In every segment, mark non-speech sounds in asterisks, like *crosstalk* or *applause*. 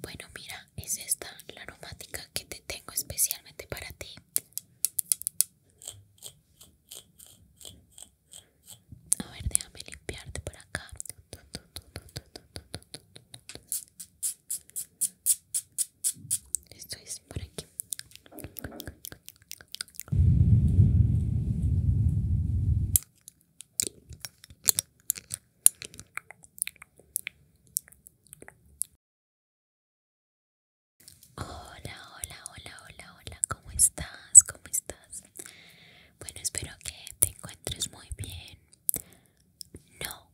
Bueno, mira, es esta la aromática que te tengo especialmente para ti. A ver, déjame limpiarte por acá. Esto es por aquí. Hola, hola, hola, hola, hola, ¿cómo estás? ¿Cómo estás? Bueno, espero que te encuentres muy bien. No,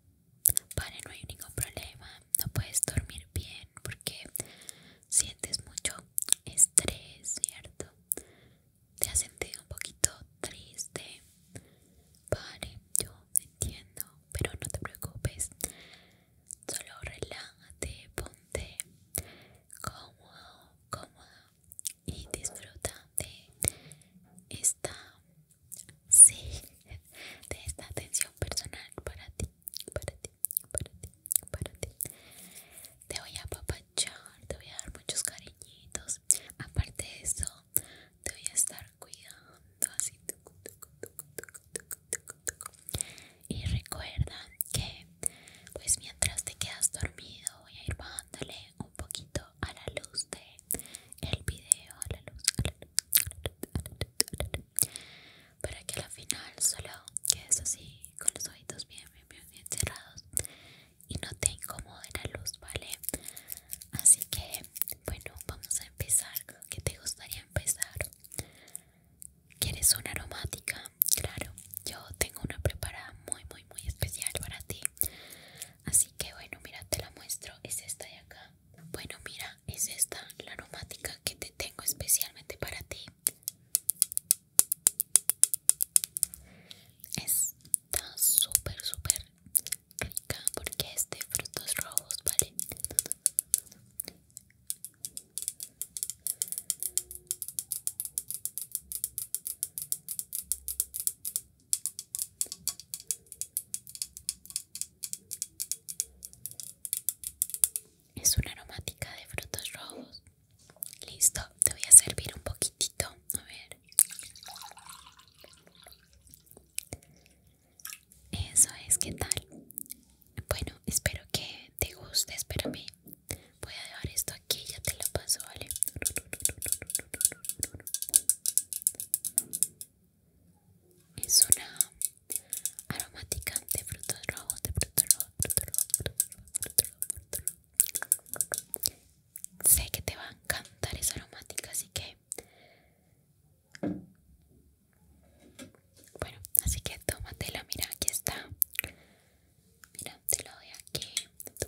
vale, no hay ningún problema. No puedes dormir bien porque sientes mucho estrés, ¿cierto? te has sentido un poquito triste. Vale, yo entiendo, pero no te preocupes. Solo relájate, ponte cómodo, cómodo y disfruta de esta, sí, de esta atención personal para ti, para ti, para ti, para ti. Te voy a apapachar, te voy a dar muchos cariñitos. Aparte de eso, te voy a estar cuidando así y recuerda que pues mientras te quedas dormido voy a ir bajándole un poquito a la luz de el video a la luz, que a para que al final solo quedes así con los ojitos bien bien bien, bien cerrados y no te incomode la luz, ¿vale? Así que, bueno, vamos a empezar. ¿Qué te gustaría empezar? ¿Quieres una aromática? Claro, yo tengo una preparada muy, muy, muy especial para ti. Así que, bueno, mira, te la muestro. Es esta de acá. Bueno, mira, es esta la aromática que te tengo especialmente para ti tan súper, súper rica porque es de frutos rojos, ¿vale? Es una aromática de frutos rojos. Listo te voy a servir un poquitito. A ver. Eso es, ¿qué tal? Bueno, espero que te guste, espérame. Voy a dejar esto aquí, ya te lo paso, ¿vale? Es una aromática de frutos rojos, de frutos rojos sé que te va a encantar esa aromática, así que bueno, así que tómatela, mira, aquí está. Mira, te lo doy aquí, tu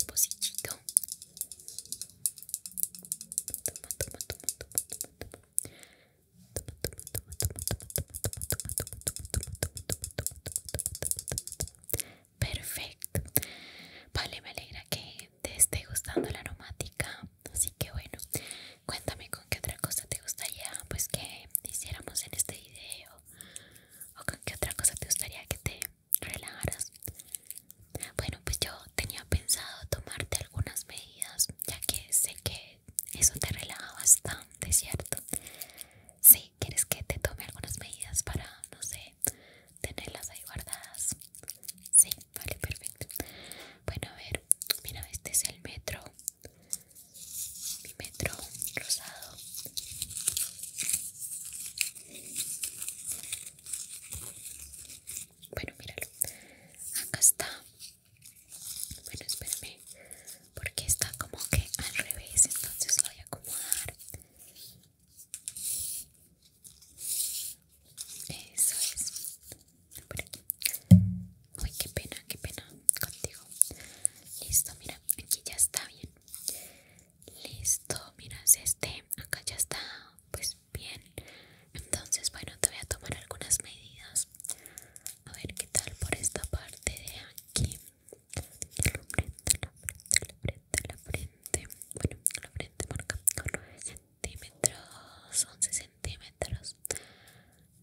Perfecto. Vale, me alegra que te esté gustando la aromática. Así que bueno, cuéntame con qué otra cosa te gustaría pues que hiciéramos en este video. O con qué otra cosa te gustaría que te relajaras. Bueno, pues yo tenía pensado tomarte algunas medidas, ya que sé que eso te relaja bastante, ¿cierto? Sí, ¿quieres que te tome algunas medidas para, no sé, tenerlas ahí guardadas sí vale perfecto bueno a ver mira este es el metro mi metro rosado bueno míralo acá está bueno espérame porque está como que al revés entonces voy a acomodar eso es. Por aquí. Uy, qué pena, qué pena contigo. Listo, mira, aquí ya está bien. Listo, mira, este, acá ya está, pues bien. Entonces, bueno, te voy a tomar algunas medidas. A ver qué tal por esta parte de aquí la frente, bueno, la frente marca 9 centímetros, 11 centímetros.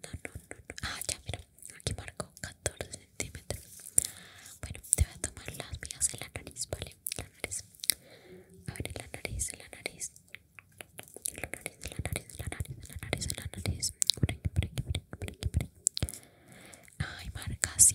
No, no, no, Ah, ya, mira, aquí marco 14 centímetros. Bueno, te voy a tomar las mías en la nariz, ¿vale? La nariz. A ver, la nariz, la nariz. la nariz, la nariz, la nariz, la nariz, la nariz.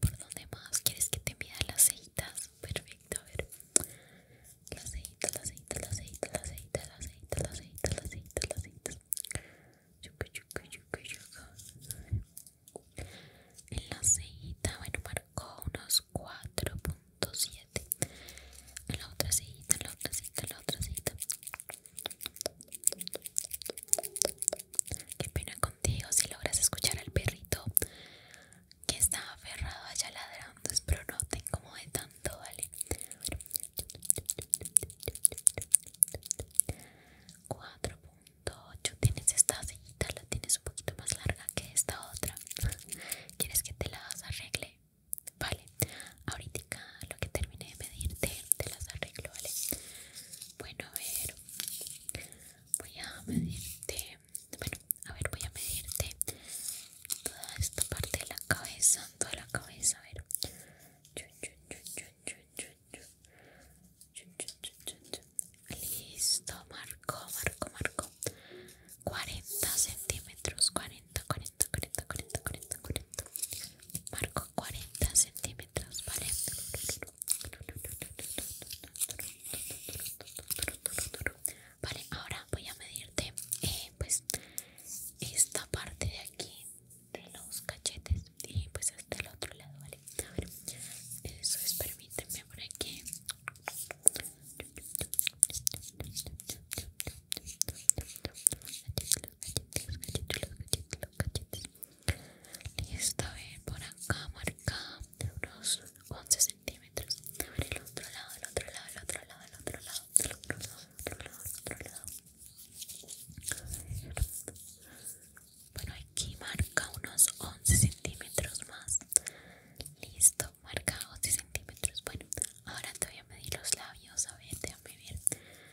¿Por dónde más quieres que te mida las cejitas? Perfecto, a ver. Las cejitas, las cejitas, las cejitas, las cejitas, las cejitas, las cejitas, las cejitas, En la cejita, bueno, marcó unos 4.7. En la otra cejita, en la otra cejita, en la otra cejita. Qué pena contigo si logras escuchar al perrito que está aferrado allá ladrando. Pues, pero no te incomode tanto, ¿vale? 4.8 tienes esta cejita, la tienes un poquito más larga que esta otra. ¿Quieres que te las arregle? Vale, ahorita lo que terminé de medirte, te las arreglo, ¿vale? Bueno, a ver, voy a medirte a ver voy a medirte toda esta parte de la cabeza toda la cabeza a ver listo marco marco marco 40 centímetros 40 40 40 40 40 40 marco 40 centímetros, ¿vale? Vale, ahora voy a medirte eh, pues esta parte de aquí de los cachetes y pues hasta este el otro lado, ¿vale? A ver, eso es, permíteme por aquí. los cachetes, los cachetes, los cachetes, los cachetes. Listo, a eh, ver, por acá, marca unos 11 centímetros. otro lado, el otro lado, el otro lado, el otro lado, el otro lado, Bueno, aquí marca unos 11 centímetros más. Listo, marca 11 centímetros. Bueno, ahora te voy a medir los labios. A ver, déjame ver.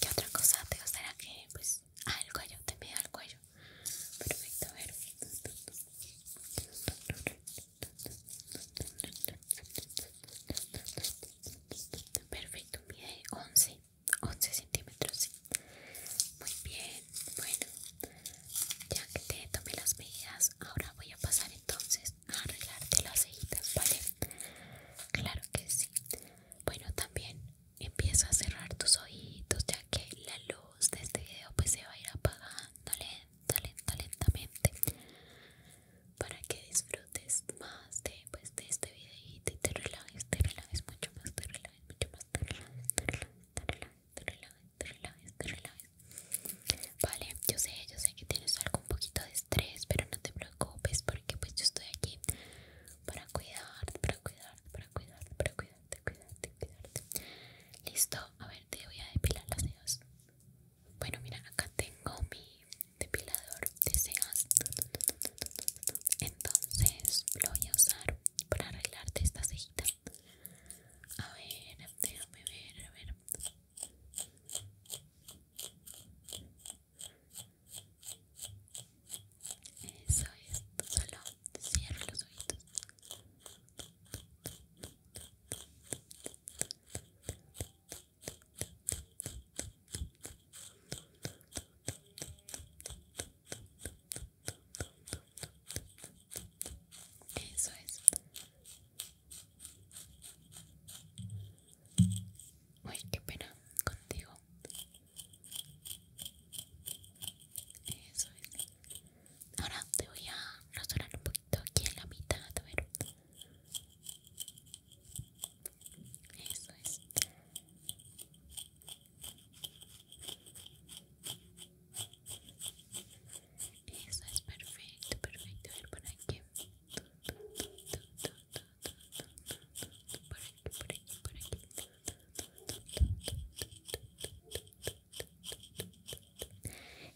¿Qué otra cosa te gustaría que pues ah el cuello te mide el cuello perfecto a ver perfecto mide 11 11 centímetros sí. muy bien bueno ya que te tomé las medidas ahora voy a pasar entonces arreglarte las cejitas, ¿vale? Claro que sí. Bueno, también empieza a cerrar tus ojitos, ya que la luz de este video pues se va a ir apagando lenta, lentamente, para que disfrutes más de, pues, de este videito y te relajes, te relajes mucho más, te relajes mucho más, te relajes, te relajes, te relajes, te relajes, te relajes, te relajes. Vale, yo sé, yo sé que tienes algo un poquito de estrés, pero no te preocupes, por que pues yo estoy aquí para cuidarte, para cuidarte, para cuidarte, para cuidarte, cuidarte, cuidarte. Listo, a ver, te voy a depilar las cejas Bueno, mira, acá tengo mi depilador de cejas. Entonces lo voy a usar para arreglarte esta cejita. A ver, déjame ver, a ver. Eso es, solo cierra los ojitos. Eso es. Uy, qué pena contigo. Eso es. Ahora te voy a rasurar un poquito aquí en la mitad, a ver. Eso es. Eso es perfecto, perfecto. A ver para qué.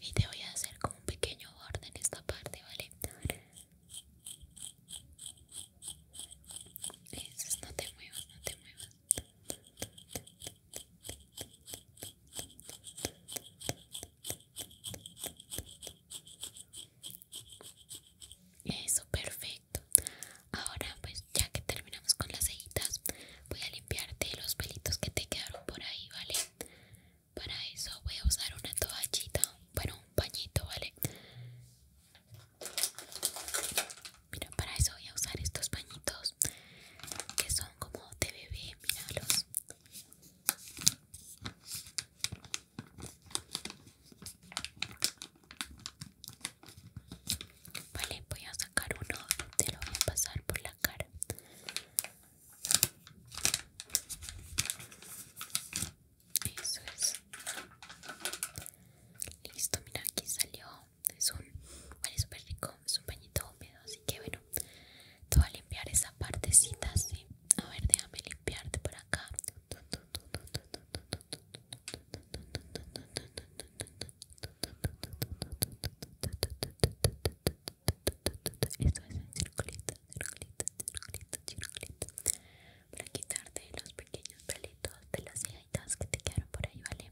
Y te voy a hacer como un pequeño borde en esta parte, ¿vale? no te muevas, no te muevas. Eso, perfecto. Ahora pues ya que terminamos con las cejitas, voy a limpiarte los pelitos que te quedaron por ahí, ¿vale? Para eso voy a usar una toallita, bueno, un pañito, ¿vale? Mira, para eso voy a usar estos pañitos que son como de bebé, míralos. Vale, voy a sacar uno, te lo voy a pasar por la cara. Eso es. Listo, mira, aquí salió. Es un, vale, súper rico, es un pañito húmedo, así que bueno Tú voy a limpiar esa partecita ¿sí? A ver, déjame limpiarte por acá. Esto es un circulito, circulito, circulito, circulito. Para quitarte los pequeños pelitos de las cejitas que te quedaron por ahí, ¿vale?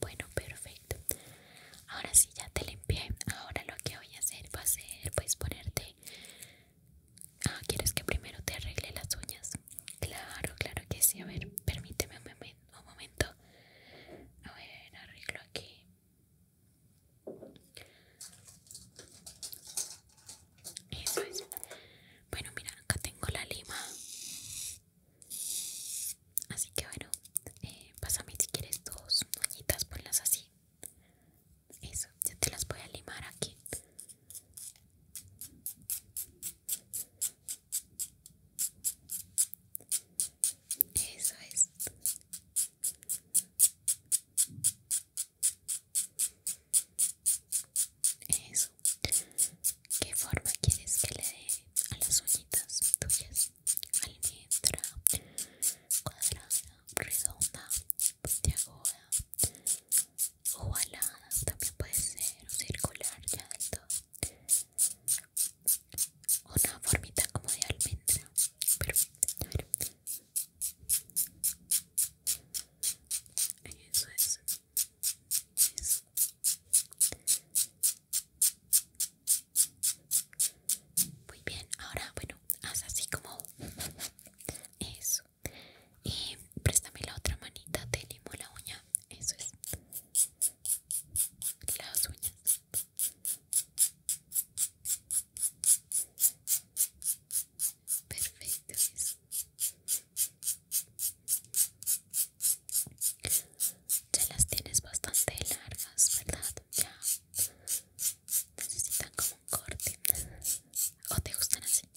Bueno, perfecto. Ahora sí ya te limpié. Ahora lo que voy a hacer va a ser pues ponerte... Ah, ¿quieres que primero te arregle las uñas? Claro, claro que sí. A ver, permíteme un, un momento. A ver, arreglo aquí. Eso es. Bueno, mira, acá tengo la lima. Así que bueno, eh, pásame si quieres dos uñitas, ponlas así. Eso, ya te las voy a limar aquí. Eso es. Eso. ¿Qué forma quieres que le dé a las uñitas tuyas? almendra, cuadrada, redonda, puntiaguda, ovalada, también puede ser, circular, ya todo. Una formita como de almendra, perfecto. Eso es. Eso. Muy bien, ahora bueno, haz así como eso. Y préstame la otra manita, te limo la uña. Eso es. Las uñas. Perfecto, ya las tienes bastante largas, ¿verdad? Ya necesitan como un corte. ¿O te gustan así?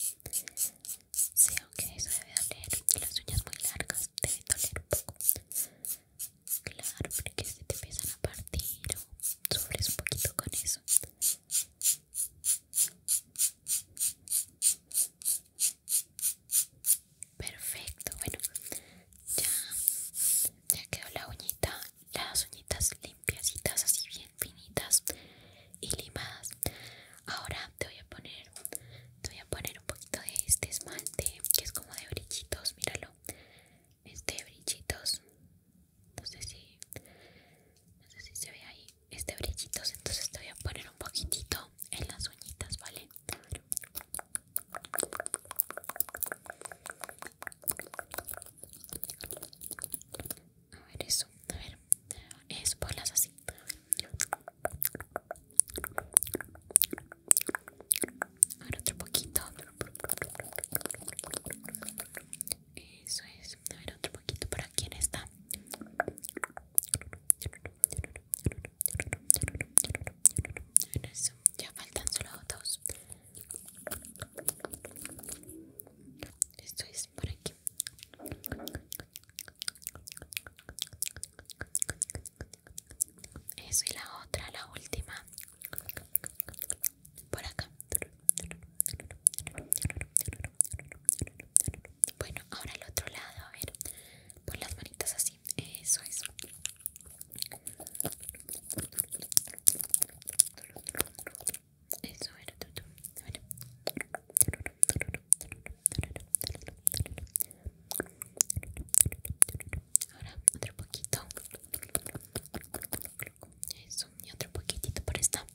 Sí, ok, eso debe doler. Las uñas muy largas deben doler un poco. Claro, porque si te empiezan a partir o sufres un poquito con eso. Perfecto, bueno, ya, quedó la uñita, las uñitas limpiacitas, así bien finitas y limadas. Ahora te voy a poner, te voy a poner un poquito de este esmalte que es como de brillitos, míralo. Este brillitos, no sé si, se ve ahí, este brillitos, entonces te voy a poner un poquitito en las uñitas, ¿vale? A ver eso, a ver, eso, bolas así. A ver, otro poquito. Eso es. A ver otro poquito por aquí en esta ya faltan solo dos. Esto es por aquí. Eso y la otra, la última. Por acá. Bueno, ahora el otro lado, a ver. Pon las manitas así eso eso es. Eso era todo Ahora otro poquito. Eso, y otro poquitito por esta.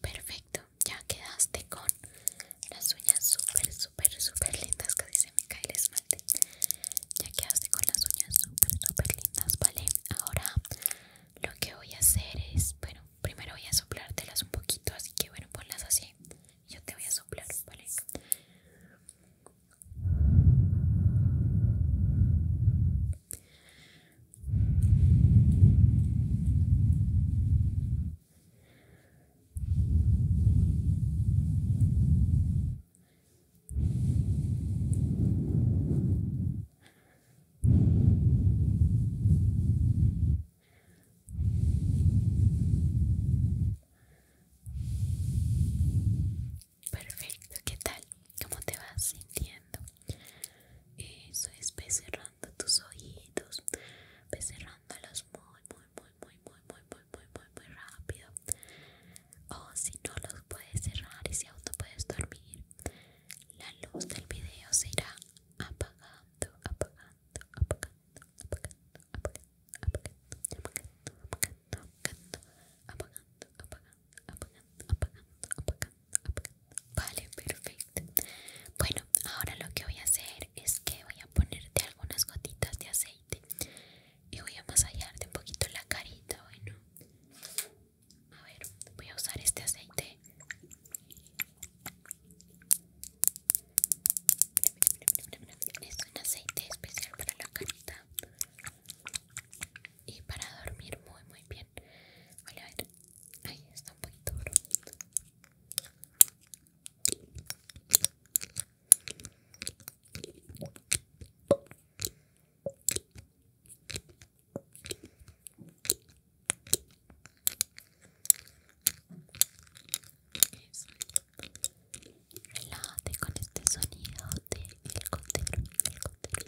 Perfecto, ya quedaste con las uñas súper, súper, súper lindas. Casi se me cae el esmalte. Ya quedaste con las uñas súper, súper lindas, ¿vale? Ahora lo que voy a hacer es, bueno, primero voy a soplártelas un poquito, así que bueno, ponlas así. Yo te voy a soplar, ¿vale? Perfecto, ¿qué tal? ¿Cómo te vas sintiendo? Eso es, cerrando tus oídos, ve cerrándolos muy, muy, muy, muy, muy, muy, muy, muy, muy, muy rápido. O si no los puedes cerrar y si aún no puedes dormir, la luz del video será apagando, apagando, apagando, apagando, apagando, apagando, apagando, apagando, apagando, apagando, apagando, apagando. Vale, perfecto. Bueno, ahora lo que voy a hacer es que voy a ponerte algunas gotitas de aceite y voy a de un poquito la carita, bueno. A ver, voy a usar este aceite. Es un aceite especial para la carita y para dormir muy muy bien. Vale, a Ahí está un poquito Relájate con este sonido de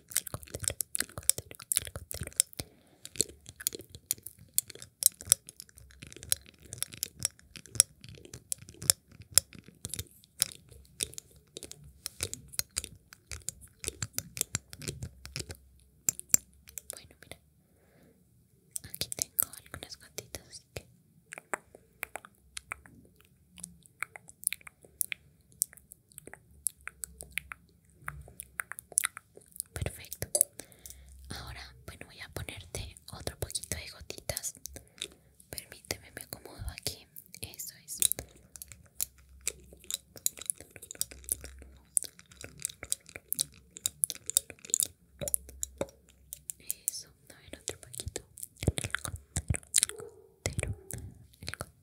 bueno, mira, aquí tengo algunas gotitas, así que Perfecto. Ahora, bueno, voy a ponerte otro poquito de gotitas. Permíteme, me acomodo aquí. Eso es. Eso, a ver otro poquito. El el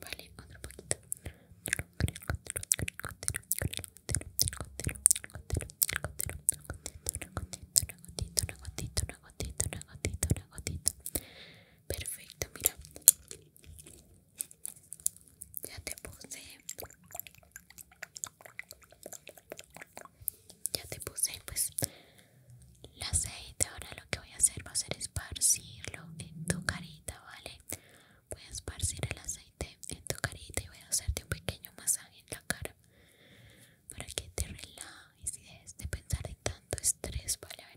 Vale, otro poquito. Perfecto, mira. Ya te puse ya te puse pues El aceite ahora lo que voy a hacer va a ser esparcirlo en tu carita vale voy a esparcir el aceite en tu carita y voy a hacerte un pequeño masaje en la cara para que te relajes y dejes de pensar de tanto estrés vale a ver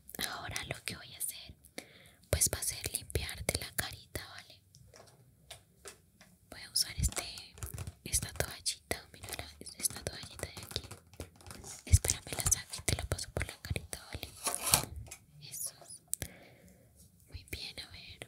ahora lo que voy a hacer pues va a ser limpiarte la carita, ¿vale? Voy a usar este esta toallita, mira esta toallita de aquí. Espérame la saco y te la paso por la carita, ¿vale? Eso. Muy bien, a ver.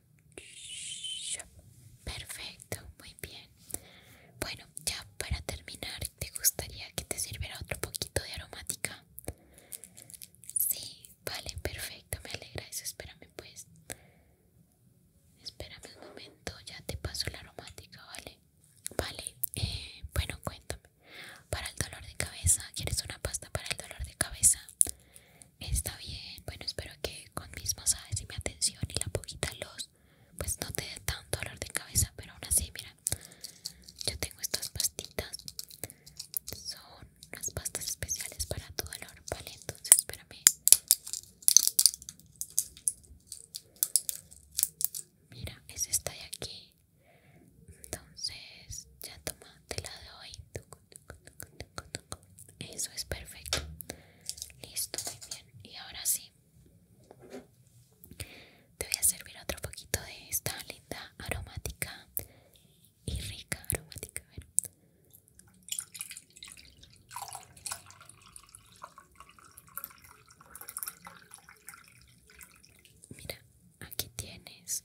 Perfecto, muy bien. Bueno, ya para terminar, ¿te gustaría que te sirviera otro poquito de aromática? Sí, vale, perfecto, me alegra eso. Espérame, pues. Espérame un momento, ya te paso la aromática, ¿vale? Vale, eh, bueno, cuéntame. Para el dolor de cabeza, ¿quieres una pasta para el dolor de cabeza? Está bien, bueno, espero que con mis masajes y mi atención y la poquita luz, pues no te dé tanto dolor de cabeza, pero aún así, mira, yo tengo estas pastitas, son unas pastas especiales para tu dolor, ¿vale? Entonces, espérame. Mira, es esta de aquí. Entonces, ya toma, te la doy. Eso es perfecto. Listo, muy bien. Y ahora sí. Te voy a servir otro poquito de esta linda aromática y rica aromática. A ver. Mira, aquí tienes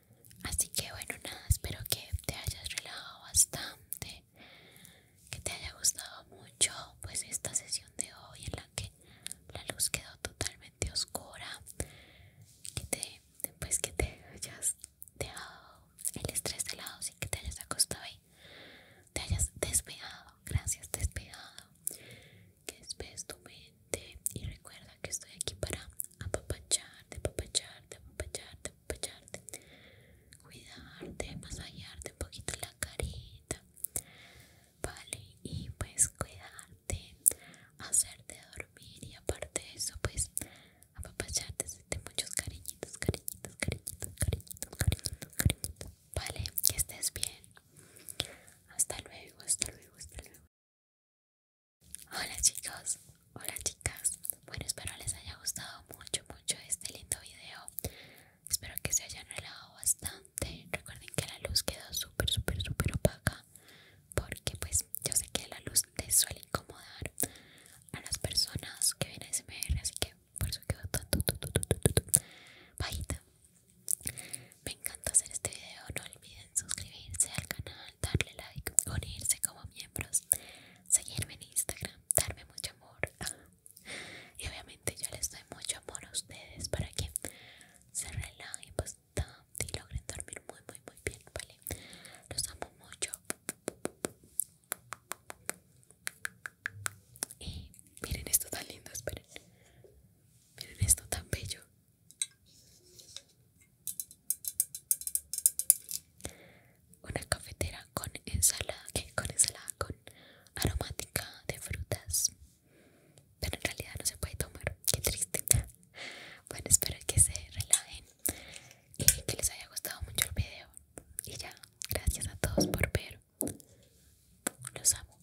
Así que bueno, nada, espero que te hayas relajado bastante, que te haya gustado mucho pues esta sesión de hoy en la que la luz quedó totalmente oscura, que te, pues que te hayas dejado el estrés de lado sin que te hayas acostado y te hayas despegado, gracias despegado que despegues tu mente y recuerda que estoy aquí para apapachar apapacharte, apapacharte, apapacharte, apapacharte. Cuidarte, masajearte un poquito la carita. Vale, y pues cuidarte, hacerte dormir y aparte de eso, pues apapacharte, siete muchos cariñitos, cariñitos, cariñitos, cariñitos, cariñitos, cariñitos. Vale, que estés bien. Hasta luego, hasta luego, hasta luego, Hola chicos, hola chicas. Bueno, espero les haya gustado mucho, mucho este lindo video. Espero que se hayan relajado bastante. Recuerden que la luz quedó súper, súper, súper opaca. Porque pues yo sé que la luz te suele incomodar a las personas que vienen a SMR. Así que por eso quedó tan bajita. Me encanta hacer este video, no olviden suscribirse al canal, darle like, unirse como miembros, seguirme en Instagram, darme mucho amor. *laughs* Y obviamente yo les doy mucho amor a ustedes para que se relajen y logren dormir muy, muy, muy bien, ¿vale? Los amo mucho. Y miren esto tan lindo, esperen. Miren esto tan bello. Una cafetera con ensalada, ¿qué? con ensalada con aromática de frutas. Pero en realidad no se puede tomar, qué triste. *laughs* Bueno, espero que se relajen y que les haya gustado mucho el video. Y ya, gracias a todos por ver. Los amo.